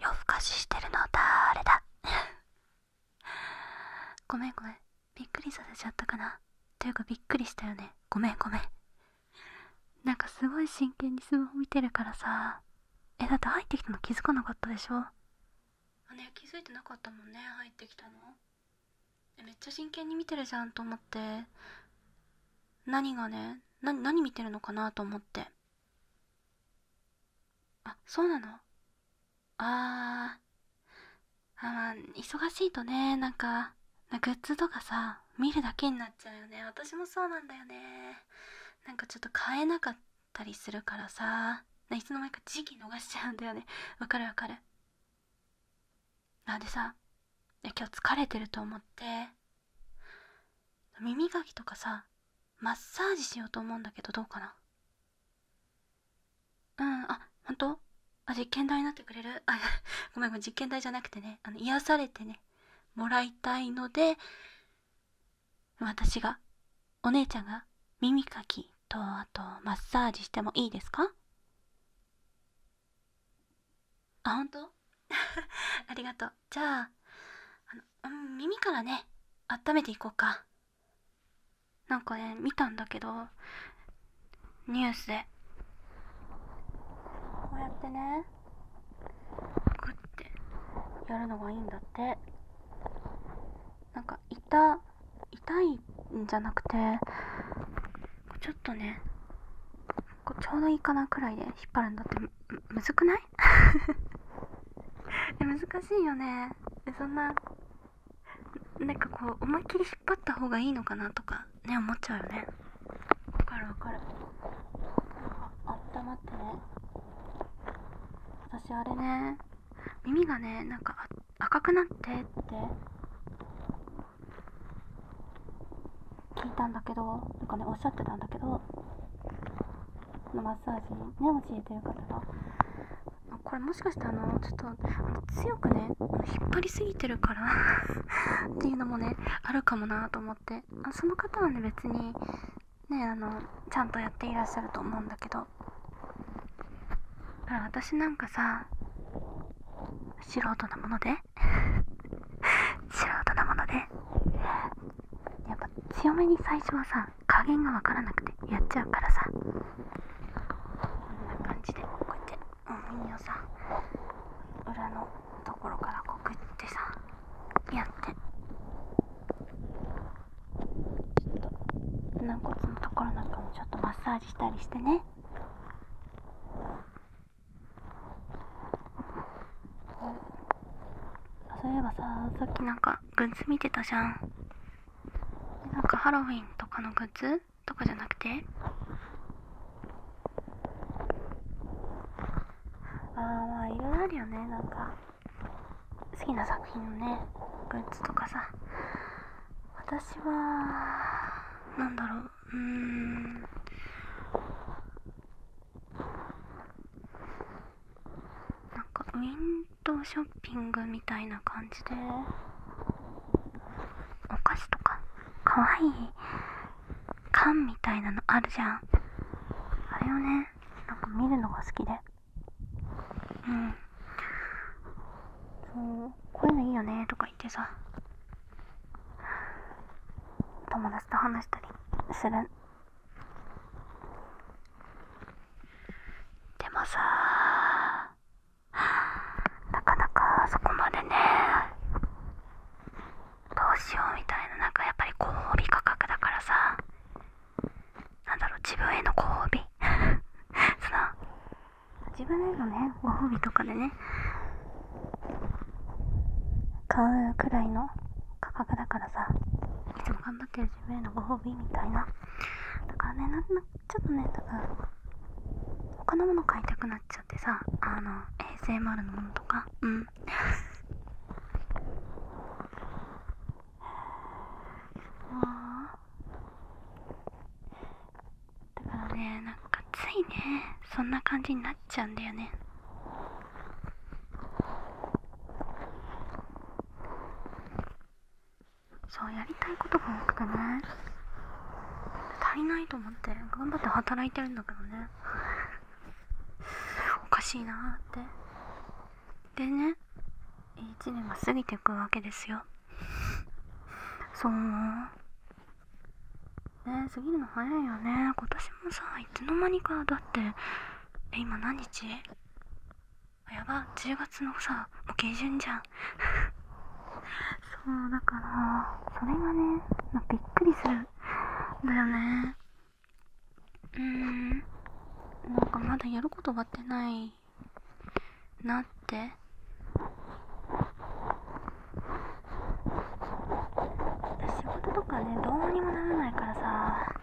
夜更かししてるのだれだ ごめんごめんびっくりさせちゃったかなというかびっくりしたよねごめんごめんなんかすごい真剣にスマホ見てるからさえだって入ってきたの気づかなかったでしょ姉気づいてなかったもんね入ってきたのめっちゃ真剣に見てるじゃんと思って何がね何見てるのかなと思ってあそうなのあーあ忙しいとねなんかグッズとかさ見るだけになっちゃうよね私もそうなんだよねなんかちょっと買えなかったりするからさいつの間にか時期逃しちゃうんだよねわかるわかるなでさ今日疲れてると思って耳かきとかさマッサージしようと思うんだけどどうかなうんあ本当あ実験台になってくれるあ ごめんごめん実験台じゃなくてねあの癒されてねもらいたいので私がお姉ちゃんが耳かきとあとマッサージしてもいいですかあ本当 ありがとうじゃああの耳からね温めていこうかなんかね見たんだけどニュースでこうやってねグッてやるのがいいんだってなんか痛痛いんじゃなくてちょっとねちょうどいいかなくらいで引っ張るんだってむずくない え難しいよねえそんななんかこう思いっきり引っ張った方がいいのかなとかね思っちゃうよねわかるわかるあったまってね私あれね耳がねなんか赤くなってって聞いたんだけどなんかねおっしゃってたんだけどのマッサージにね教えてる方がこれもしかしてあのちょっと強くね引っ張りすぎてるから っていうのもねあるかもなと思ってあその方はね別にねあのちゃんとやっていらっしゃると思うんだけどだから私なんかさ素人なもので 素人なものでやっぱ強めに最初はさ加減が分からなくてやっちゃうからさこんな感じでこうやってもお耳をさ裏のところからこうくってさやってちょっと軟骨のところなんかもちょっとマッサージしたりしてねあ、そういえばささっきなんかグッズ見てたじゃんなんかハロウィンとかのグッズとかじゃなくてああまあいろいろあるよねなんか好きな作品のねグッズとかさ私はなんだろううんなんかウィンドウショッピングみたいな感じでお菓子とかかわいい缶みたいなのあるじゃんあれをねなんか見るのが好きでうんそうこういうのいいよねとか言ってさ友達と話したりするでもさなかなかそこまでねどうしようみたいななんかやっぱりご褒美価格だからさなんだろう自分へのご褒美 その自分へのねご褒美とかでね買うくらいの価格だからさいつも頑張ってる自分へのご褒美みたいなだからねなんちょっとね多分他のもの買いたくなっちゃってさあの ASMR のものとかうん あだからねなんかついねそんな感じになっちゃうんだよねそうやりたいことが多くてね足りないと思って頑張って働いてるんだけどねおかしいなーってでね1年が過ぎていくわけですよそうね過ぎるの早いよね今年もさいつの間にかだってえ今何日やば10月のさも下旬じゃんそうだからそれがね、まびっくりするんだよねうんなんかまだやること終わってないなって仕事とかねどうにもならないからさ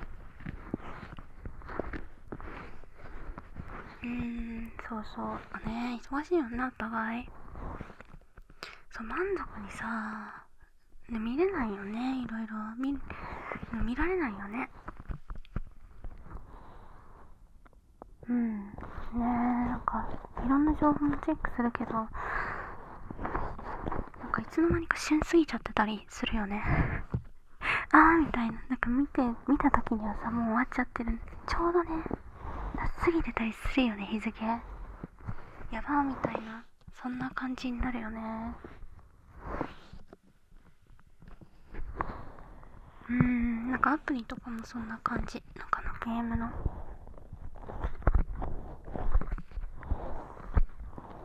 うんそうそうね忙しいよなお互いそう満足にさ、ね、見れないよねいろいろ見見られないよねうんねえなんかいろんな情報もチェックするけどなんかいつの間にか旬すぎちゃってたりするよね ああみたいななんか見て見た時にはさもう終わっちゃってるちょうどねすぎてたりするよね日付やばみたいなそんな感じになるよねうんなんかアプリとかもそんな感じなんかのゲームの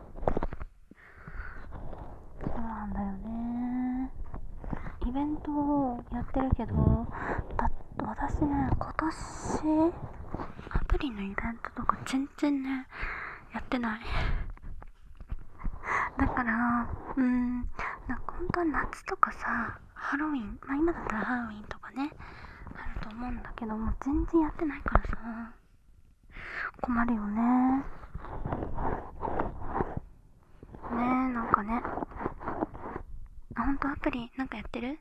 そうなんだよねイベントをやってるけどだ私ね今年アプリのイベントとか全然ねやってないだからうんなんか本当は夏とかさハロウィンまあ今だったらハロウィンとかねあると思うんだけどもう全然やってないからさ困るよねねえなんかねあほんとアプリなんかやってるい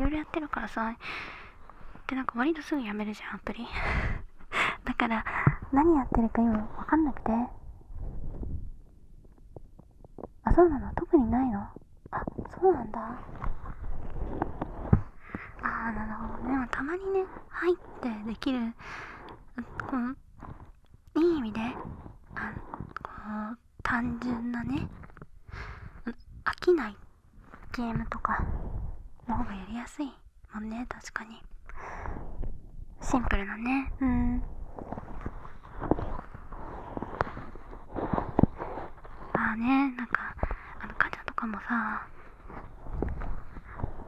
ろいろやってるからさでなんか割とすぐやめるじゃんアプリ だから何やってるか今分かんなくてあそうなの特にないのあそうなんだああなるほどでもたまにね入ってできるこのいい意味であこう単純なね飽きないゲームとかの方がやりやすいもんね確かにシンプルなねうんああねなんかあのかちゃんとかもさ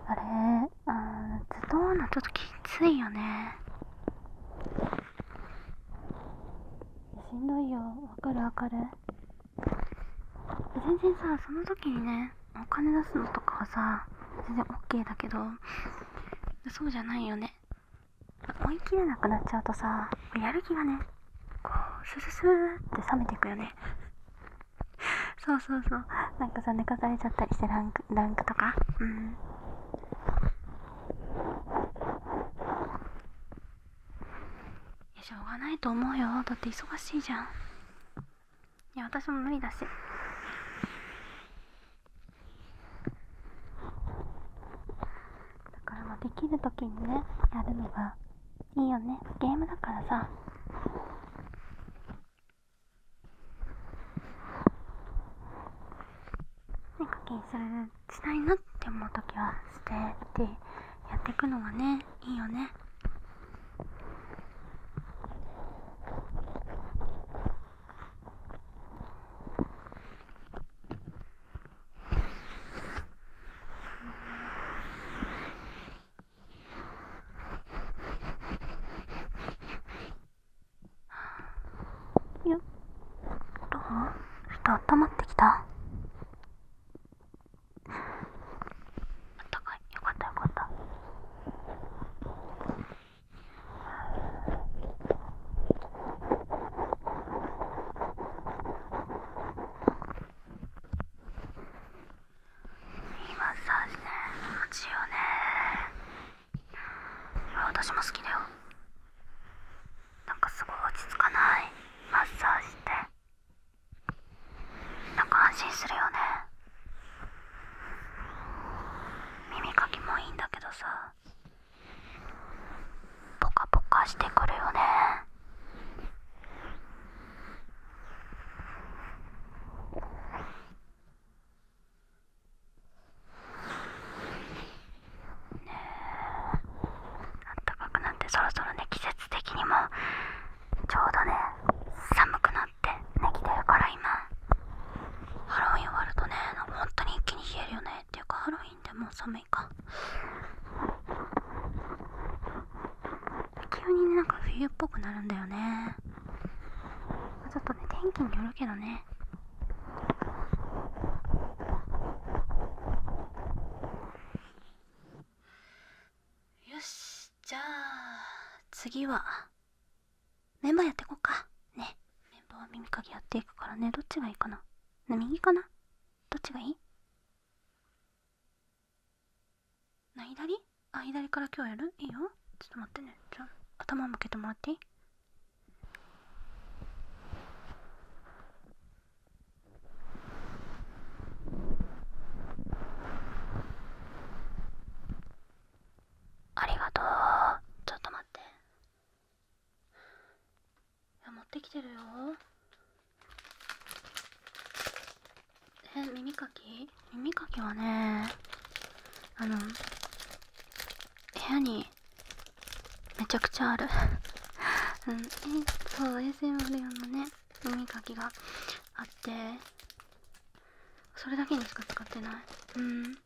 あれあズドンのちょっときついよねしんどいよわかるわかる全然さその時にねお金出すのとかはさ全然 OK だけどそうじゃないよね思い切れなくなっちゃうとさやる気がねこうスススーって冷めていくよねそうそうそうなんかさ寝かされちゃったりしてランクランクとかうんいやしょうがないと思うよだって忙しいじゃんいや私も無理だしだからまあできる時にねやるのがいいよねゲームだからさね課にするしたいなって思う時はしてってやっていくのがねいいよねうん。よっどうふとあったまってきたあったかいよかったよかったいいマッサージね気持ちいいよね私も好きだよなんかすごい落ち着かないマッサージってなんか安心するよね耳かきもいいんだけどさポカポカしてくるよねねあったかくなってそろそろね季節的にもちょうどね寒くなってねきてるから今ハロウィン終わるとね本当に一気に冷えるよねっていうかハロウィンでも寒い。もい急にねなんか冬っぽくなるんだよねちょっとね天気によるけどねよしじゃあ次はメンバーやっていこうかねメンバーは耳かきやっていくからねどっちがいいかな右かなどっちがいいな左あ左から今日やるいいよちょっと待ってねじゃ頭向けてもらっていいありがとうちょっと待っていや持ってきてるよえ耳かき耳かきはねあの部屋にめちゃくちゃある うん、えそう ASMR 用のね耳かきがあってそれだけにしか使ってないうん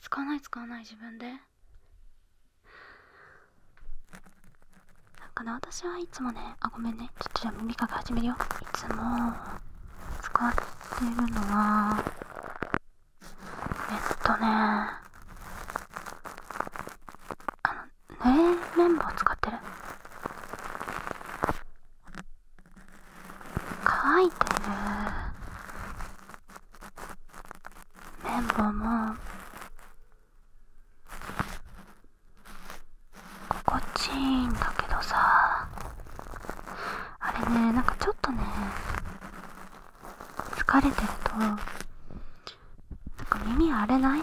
使わない使わない自分でなかね私はいつもねあごめんねちょっとじゃあ耳かき始めるよいつも使ってるのはえっとねあのぬれ綿棒使ってる乾いてる綿棒も心地いいんだけどさあれねなんかちょっとね疲れてるとなんか耳荒れない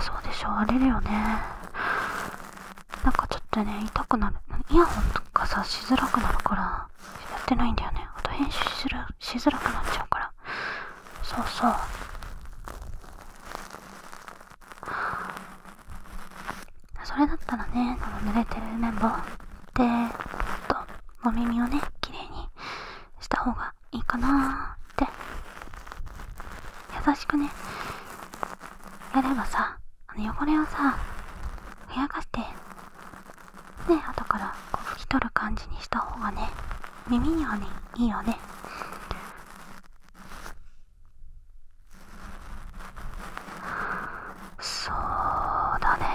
そうでしょ荒れるよねなんかちょっとね痛くなるイヤホンとかさしづらくなるからやってないんだよねあと編集ししづらくなっちゃうからそうそうそれだったらねこの濡れてる綿棒でちょっとみ耳をねきれいにした方がいいかなって優しくねやればさあの汚れをさふやかしてね後からこう拭き取る感じにした方がね耳にはねいいよねそうだね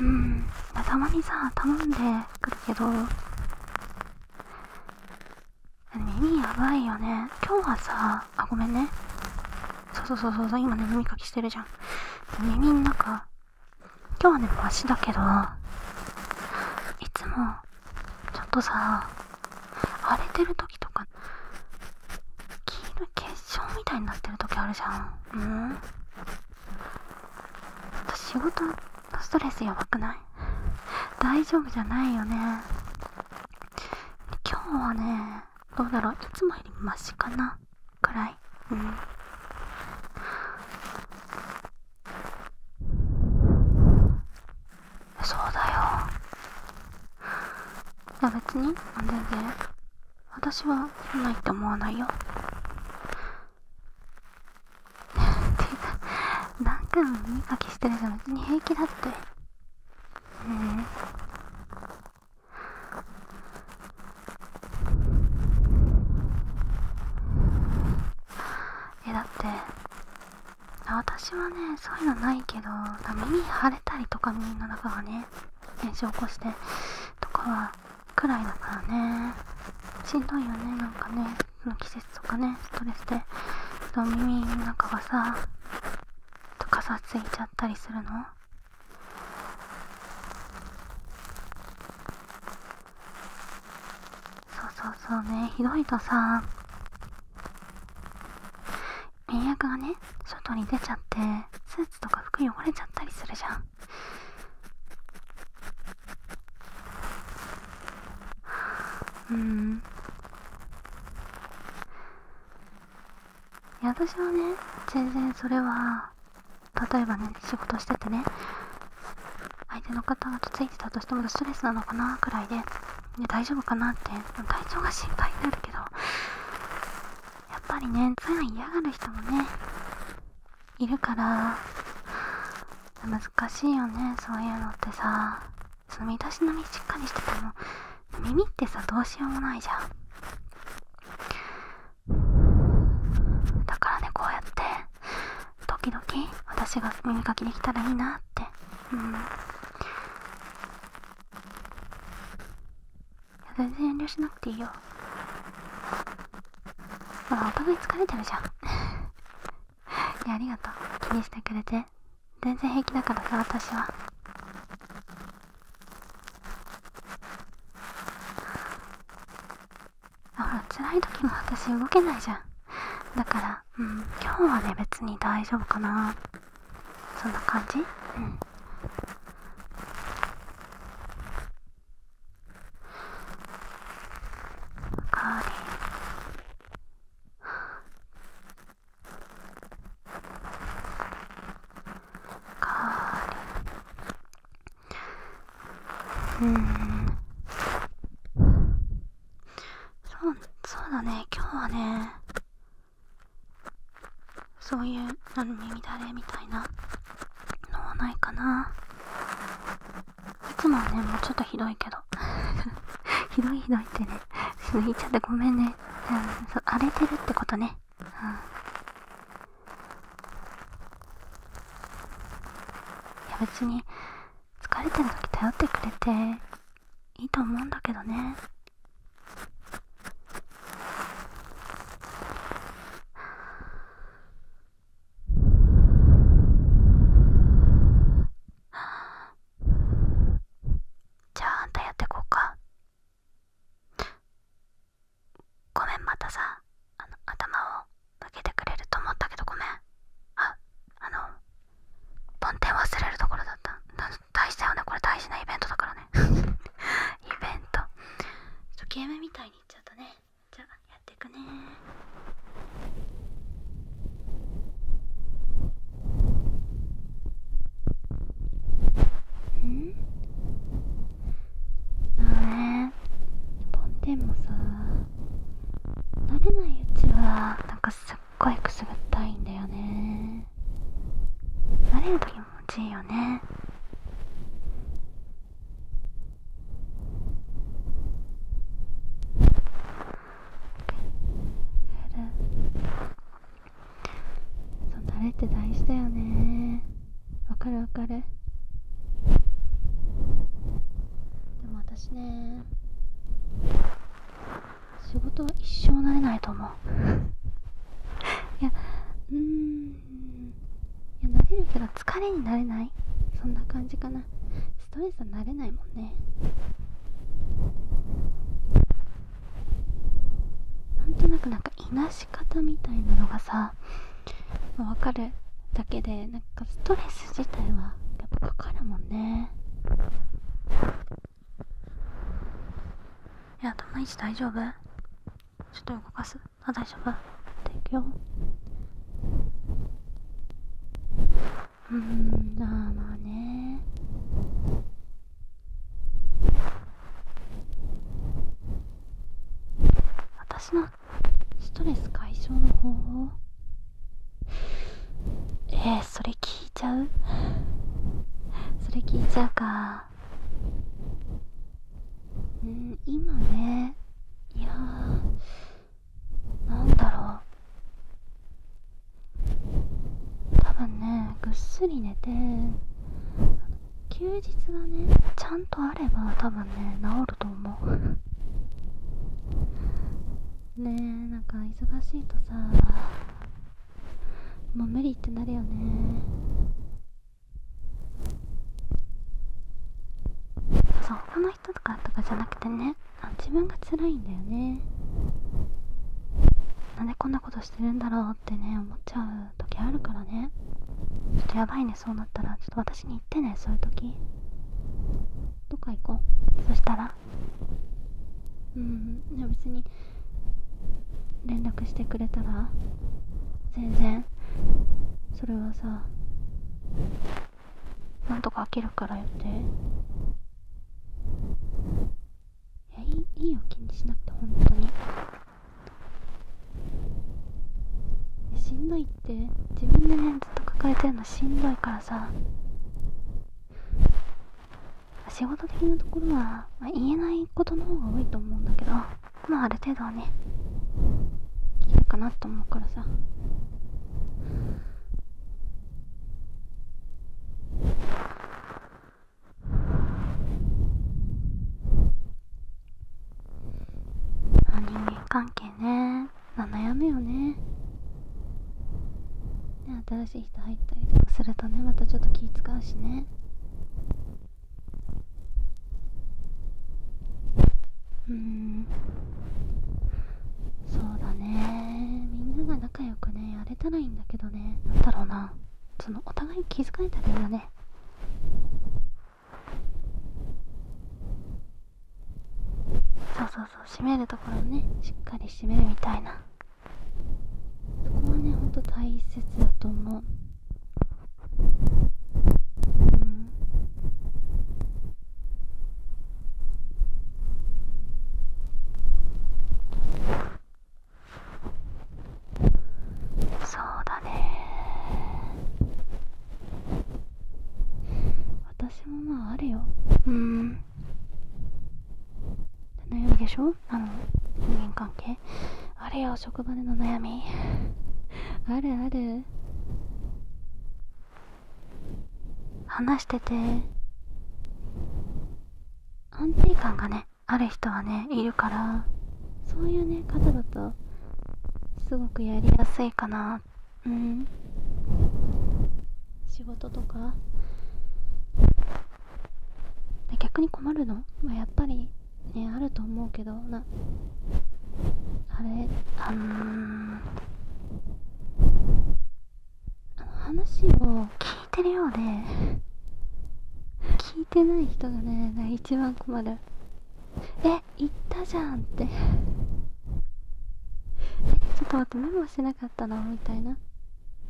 うんたまにさ頼んでくるけど耳やばいよね今日はさあごめんねそうそうそうそう今ね耳かきしてるじゃん耳の中今日はねマシだけどいつもちょっとさ荒れてる時とか黄色い結晶みたいになってる時あるじゃんうん仕事のストレスやばくない大丈夫じゃないよね今日はねどうだろういつもよりマシかなくらいうんそうだよいや別に全然私はそないって思わないよってダンクも耳かきしてるじゃん別に平気だってねええだって私はねそういうのないけど耳腫れたりとか耳の中がね炎症起こしてとかはくらいだからねしんどいよねなんかねその季節とかねストレスで耳の中がさかさついちゃったりするのそうそうそうねひどいとさ免疫がね外に出ちゃってスーツとか服汚れちゃったりするじゃんうんいや私はね全然それは例えばね仕事しててね相手の方がとついてたとしてもストレスなのかなくらいで、ね、大丈夫かなって体調が心配になるけどやっぱりねつや嫌がる人もねいるから難しいよねそういうのってさその身だしのみしっかりしてても耳ってさどうしようもないじゃんだからねこうやって時々私が耳かきできたらいいなってうん全然遠慮しなくていいよほらお互い疲れてるじゃん いやありがとう気にしてくれて全然平気だからさ私はほら辛い時も私動けないじゃんだから、うん、今日はね別に大丈夫かなそんな感じうんかわりあ。りうんそうそうだね今日はねそういう耳だれみたいなのはないかないつもはねもうちょっとひどいけど ひどいひどいってね 言っちゃってごめんね、うん、そう荒れてるってことねいや別に疲れてる時頼ってくれていいと思うんだけどねじゃああんたやってこうかごめんまたさあの頭を向けてくれると思ったけどごめんああの梵天忘れるところだった大事だよねこれ大事なイベントだからね イベントちょゲームみたいにいっちゃったねじゃあやっていくねうんああ、ええ。飛んでもさ慣れないうちはなんかすっごいくすぐったいんだよね慣れると気持ちいいよねそう慣れって大事だよねわかるわかるでも私ね仕事は一生なれないと思う いやうんいやなれるけど疲れになれないそんな感じかなストレスはなれないもんねなんとなくなんかいなし。し方みたいなのがさ分かるだけでなんかストレス自体はやっぱかかるもんねいや頭い置大丈夫ちょっと動かすあ大丈夫でいくようんまあまあね私のストレス解消の方法えー、それ聞いちゃうそれ聞いちゃうかうん今ねいやーなんだろう多分ねぐっすり寝て休日がねちゃんとあれば多分ね治ると思う ねえなんか忙しいとさもう無理ってなるよねそう他の人とかとかじゃなくてねあ自分が辛いんだよねなんでこんなことしてるんだろうってね思っちゃう時あるからねちょっとやばいねそうなったらちょっと私に言ってねそういう時どっか行こうそしたらうんいや別に連絡してくれたら全然それはさなんとか飽きるからよっていやいいいいよ気にしなくて本当に。しんどいって自分でねずっと抱えてるのしんどいからさ仕事的なところは、まあ、言えないことの方が多いと思うんだけどまあある程度はね聞けるかなと思うからさあ人間関係ね悩むよねね新しい人入ったりとかするとねまたちょっと気使うしねうんそうだねみんなが仲良くねやれたらいいんだけどねなんだろうなそのお互い気遣えたらはねそうそうそう締めるところねしっかり締めるみたいなそこはねほんと大切だと思ううんそうだね私もまああるようん悩みでしょあの人間関係あれよ職場での悩みあるある話してて安定感がねある人はねいるからそういうね方だとすごくやりやすいかなうん仕事とかで逆に困るの、まあ、やっぱりねあると思うけどなあれあのあの話を聞いてるようで聞いてない人がね一番困るえ行ったじゃんってえちょっと待ってメモしてなかったな。みたいな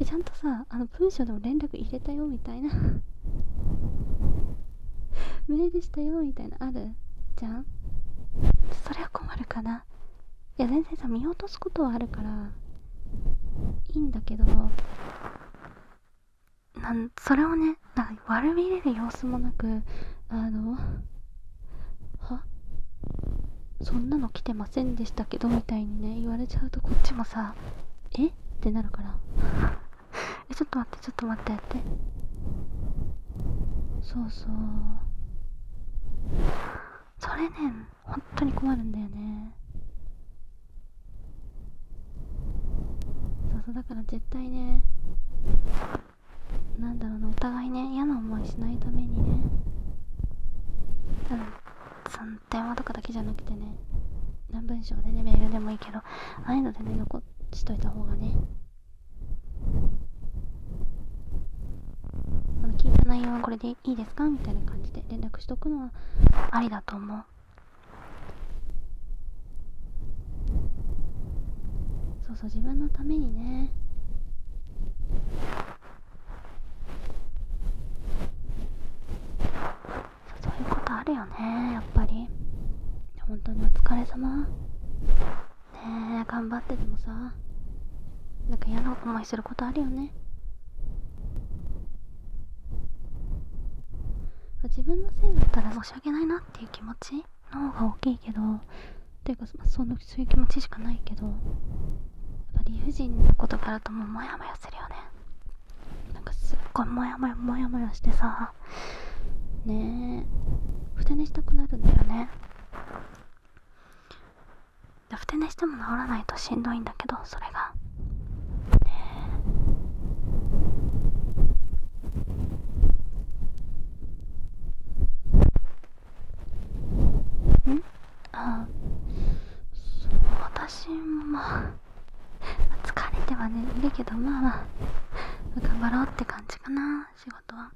えちゃんとさあの文章でも連絡入れたよみたいなメー でしたよみたいなあるじゃんそれは困るかないや全然さ見落とすことはあるからいいんだけどなんそれをねなんか悪びれる様子もなくあのはそんなの来てませんでしたけどみたいにね言われちゃうとこっちもさえってなるから えちょっと待ってちょっと待ってやってそうそうそれね本当に困るんだよねそうそうだから絶対ねなんだろうなお互いね嫌な思いしないためにね多分。その電話とかだけじゃなくてね何文章でねメールでもいいけどああいうのでね残しといた方がねあの聞いた内容はこれでいいですかみたいな感じで連絡しとくのはありだと思う。そうそう自分のためにねそういうことあるよねやっぱり本当にお疲れ様ねえ頑張っててもさなんか嫌な思いすることあるよね自分のせいだったら申し訳ないなっていう気持ちの方が大きいけどっていうかそのそういう気持ちしかないけどやっぱ理不尽なことからともうモヤモヤするよねなんかすっごいモヤモヤモヤモヤしてさねえふて寝したくなるんだよねふて寝しても治らないとしんどいんだけどそれがねえ。うんああ。私も 疲れてはねいるけどまあまあ頑張ろうって感じかな仕事は。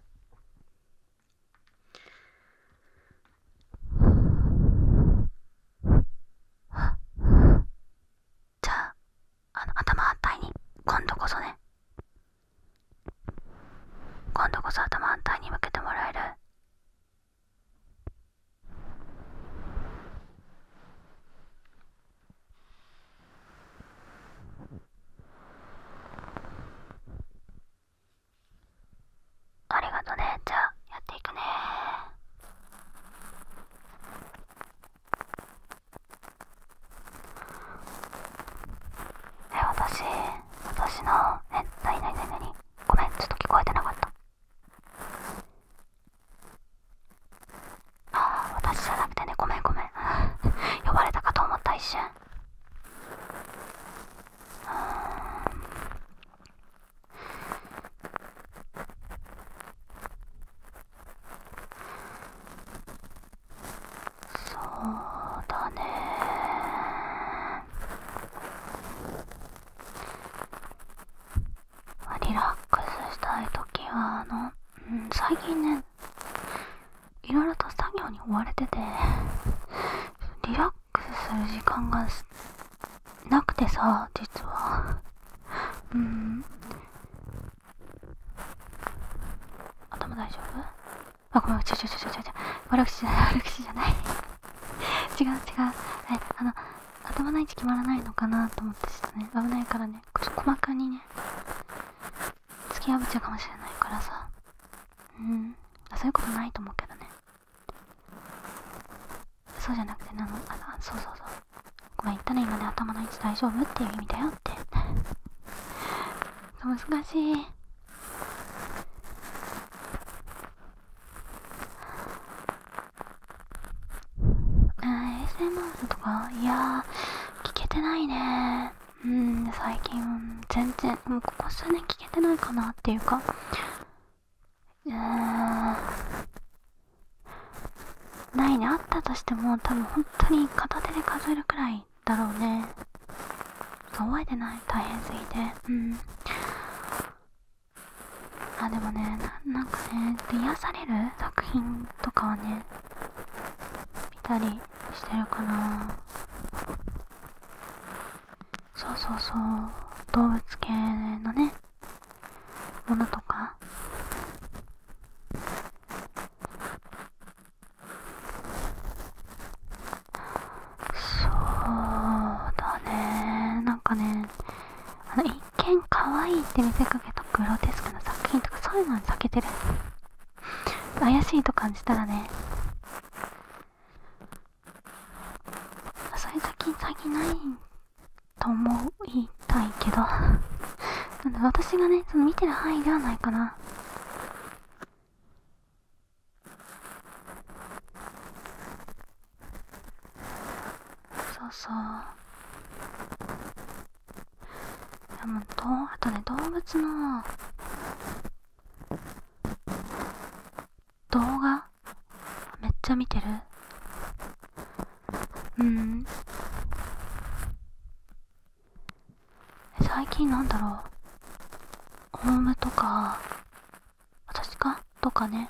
じゃああの頭反対に今度こそね今度こそ頭反対に向けてもらえるありがとねじゃあやっていくねえ、私、私の、え、なになに何ににごめん、ちょっと聞こえてなかった。あ私じゃなくてね、ごめんごめん。呼ばれたかと思った一瞬。そうだねリラックスしたい時はあの、うん、最近ねいろいろと作業に追われててリラックスする時間がなくてさ実はうん頭大丈夫あ、ごめん、ちょちょちょちょちょ悪口じゃない、悪口じゃない。違う違う。え、あの、頭の位置決まらないのかなと思ってちょっとね、危ないからね、細かにね、突き破っちゃうかもしれないからさ。うん。そういうことないと思うけどね。そうじゃなくて、あの、あの、そうそうそう。ごめんったね今ね頭の位置大丈夫っていう意味だよって難しいあ ASMR とかいや聞けてないねうん最近全然もうここ数年聞けてないかなっていうかうーんないねあったとしても多分本当に片手で数えるくらいだろうねそう覚えてない大変すぎてうんあでもねなんかね癒される作品とかはね見たりしてるかなそうそうそう動物系のねものとかそうだねなんかねあの一見可愛いって見せかけたグロテスクな作品とかそういうのは避けてる怪しいと感じたらねそれいう作品最近ないと思うたいけどなんで私がねその見てる範囲ではないかなそうそういもうあとね動物の動画めっちゃ見てるうん最近なんだろうオウムとか私かとかね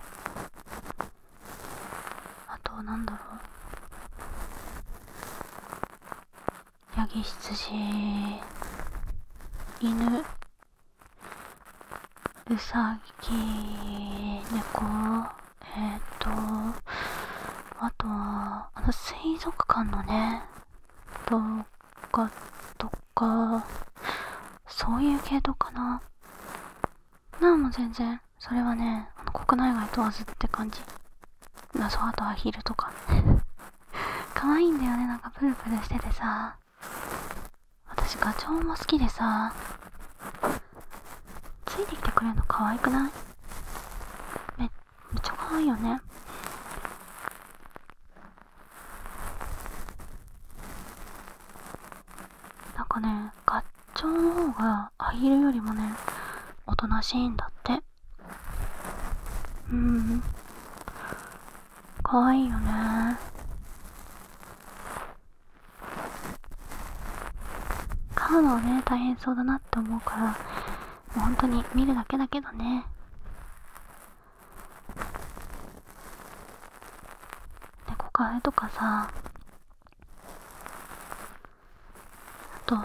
あとなんだろうヤギ羊犬うさぎ猫えっ、とあとはあの水族館のね動画とかそういう系統かななあもう全然それはね国内外問わずって感じ謎。あとアヒルとか 可愛いんだよねなんかプルプルしててさ私ガチョウも好きでさついてきてくれるの可愛くないめめっちゃ可愛いよねなんかねガッチョウの方がアヒルよりもねおとなしいんだってうん可愛いよね飼うのはね大変そうだなって思うからもう本当に見るだけだけどね猫カフェとかさあと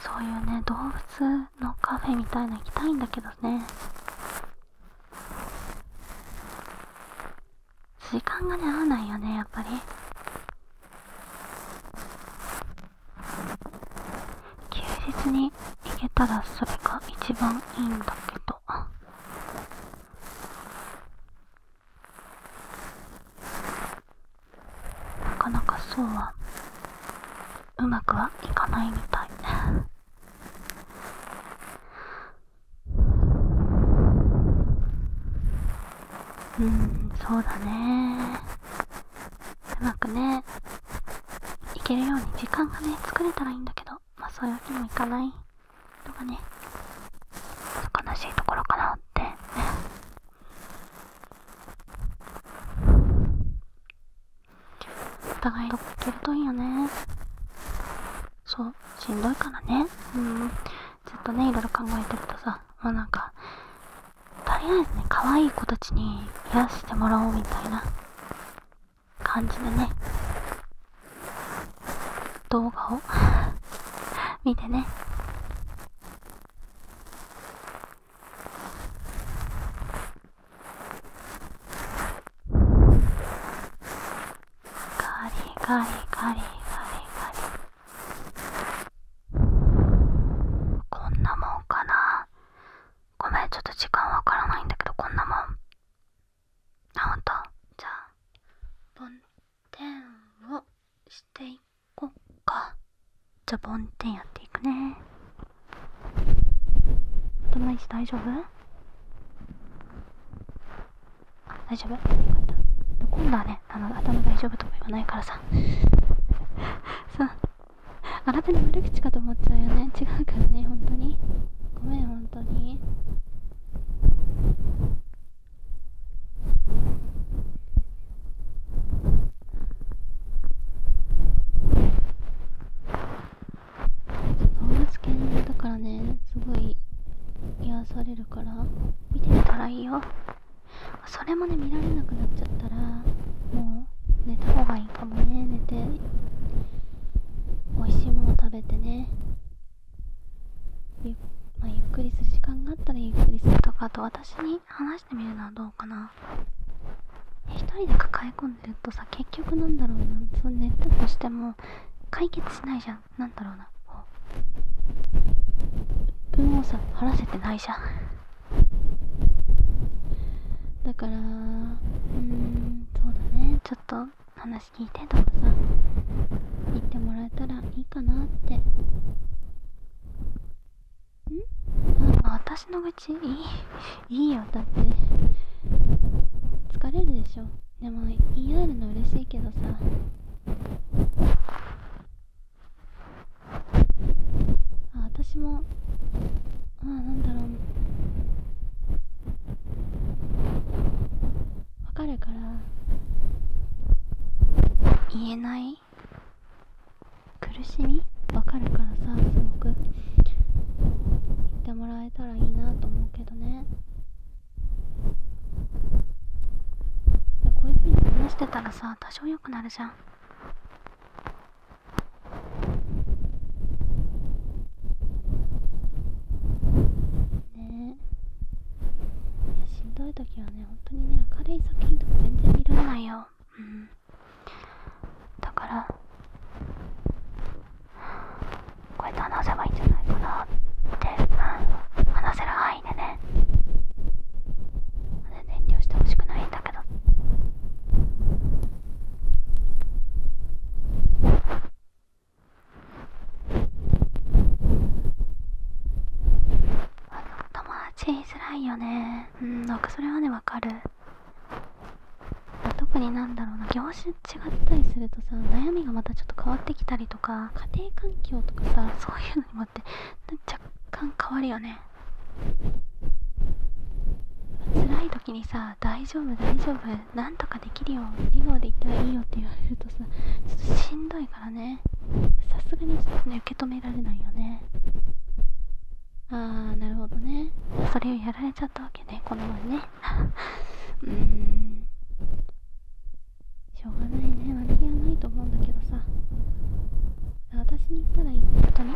そういうね動物のカフェみたいな行きたいんだけどね時間がね合わないよねやっぱり休日に行けたらそれが一番いいんだけどなかなかそうはうまくはいかないみたいうんそうだねうまくねいけるように時間がね作れたらいいんだけどまあそういうわけにもいかないのがね悲しいところかなってねお互いどこ行けるといいよねそうしんどいからねうんちょっとねいろいろ考えてるとさもうなんかとりあえずね可愛い子たちに癒してもらおうみたいな感じでね動画を 見てねガリガリガリガリガリ。こんなもんかなごめんちょっと時間わからないんだけどこんなもんあほんとじゃあてん。をしていこうかじゃぼんてんやっていくね頭いいし大丈夫大丈夫今度はねあの頭大丈夫とか言わないからさ さあなたに悪口かと思っちゃうよね違うからね本当にごめん本当に動物犬だからねすごい癒されるから見てみたらいいよそれもね見られなくなっちゃったらもう寝た方がいいかもね寝て美味しいもの食べてねゆ,、まゆっくりする時間があったらゆっくりするとかあと私に話してみるのはどうかな1人で抱え込んでるとさ結局なんだろうなっう寝たとしても解決しないじゃんなんだろうな分をさ晴らせてないじゃんだからうんそうだねちょっと話聞いてとかさ言ってもらえたらいいかなってうんあ私の愚痴いい いいよだって疲れるでしょでも言い合えるの嬉しいけどさあ私もあなんだろうわかるから言えない苦しみわかるからさすごく言ってもらえたらいいなと思うけどねこういうふうに話してたらさ多少良くなるじゃんねえしんどい時はね本当にね明るい作品とか全然見られないようんだからこうやって話せばいいんじゃないかなって、話せる範囲範囲でねまだ遠慮してほしくないんだけど。友達いづらいよねうんなんかそれはねわかる特になんだろうな業種違ったりするとさ悩みがまたちょっと変わってきたりとか家庭環境とかさそういうの。のって若干変わるよね辛い時にさ「大丈夫大丈夫何とかできるよ笑顔でいったらいいよ」って言われるとさちょっとしんどいからねさすがにちょっとね受け止められないよねああなるほどねそれをやられちゃったわけねこの前ね うーんしょうがないね悪気はないと思うんだけどさ私に言ったらいいことね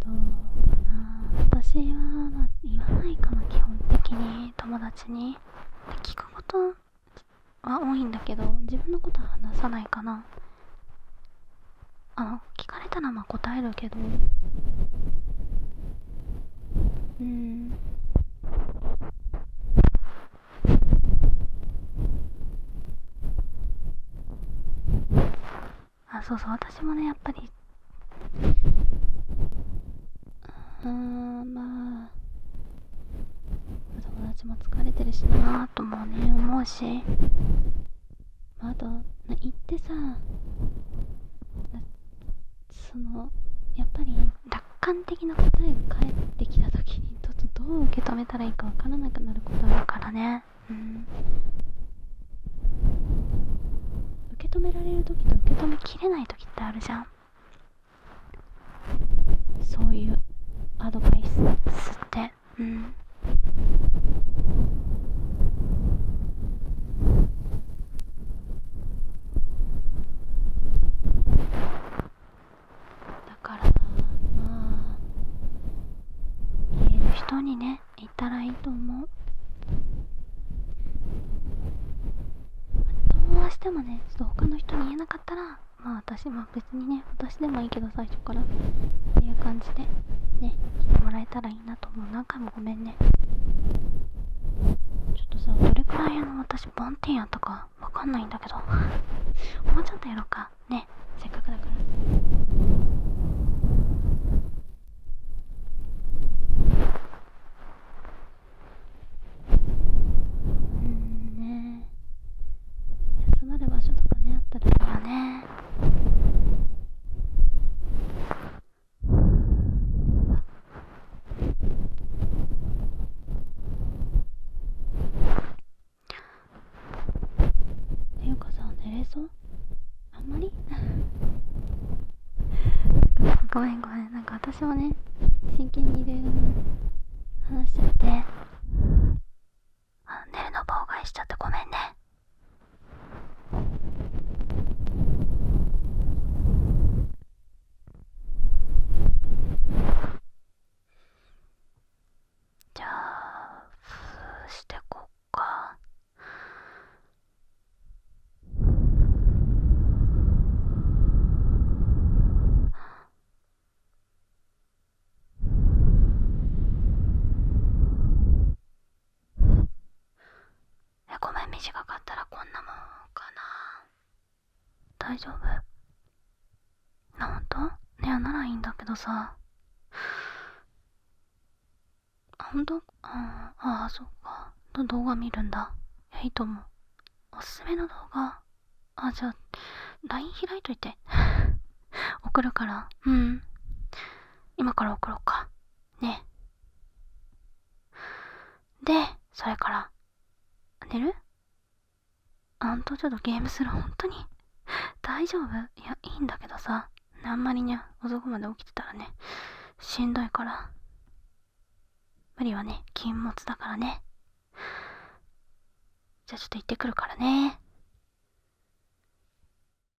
どうかな私は、まあ、言わないかな基本的に友達に聞くことは多いんだけど自分のことは話さないかなあ聞かれたらまあ答えるけどうんあそうそう私もねやっぱりうんまあ友達も疲れてるしなーともね思うし窓な言ってさそのやっぱり楽観的な答えが返ってきた時にちょっとどう受け止めたらいいか分からなくなることあるからねうん受け止められる時と受け止めきれない時ってあるじゃんそういうアドバイスってだからまあ言える人にね言ったらいいと思うどうしてもねちょっと他の人に言えなかったらまあ私まあ別にね私でもいいけど最初からっていう感じでね来てもらえたらいい。いいなと思う何回もごめんねちょっとさどれくらいあの私梵天やったかわかんないんだけどもうちょっとやろうかねせっかくだから。うんね休まる場所とかねあったらいいよねていうかさん、寝れそうあんまり ごめんごめんなんか私もね真剣にいろいろね話しちゃってあの寝るの妨害しちゃってごめんねじゃあふーしてこっか。え、ごめん短かったらこんなもんかな大丈夫なほんとねやならいいんだけどさほんとああそっかの動画見るんだいやいいと思うおすすめの動画あじゃあ LINE 開いといて 送るからうん今から送ろうかねでそれから寝るあんとちょっとゲームする本当に大丈夫いやいいんだけどさあんまりね遅くまで起きてたらねしんどいから無理はね禁物だからねじゃあちょっと行ってくるからね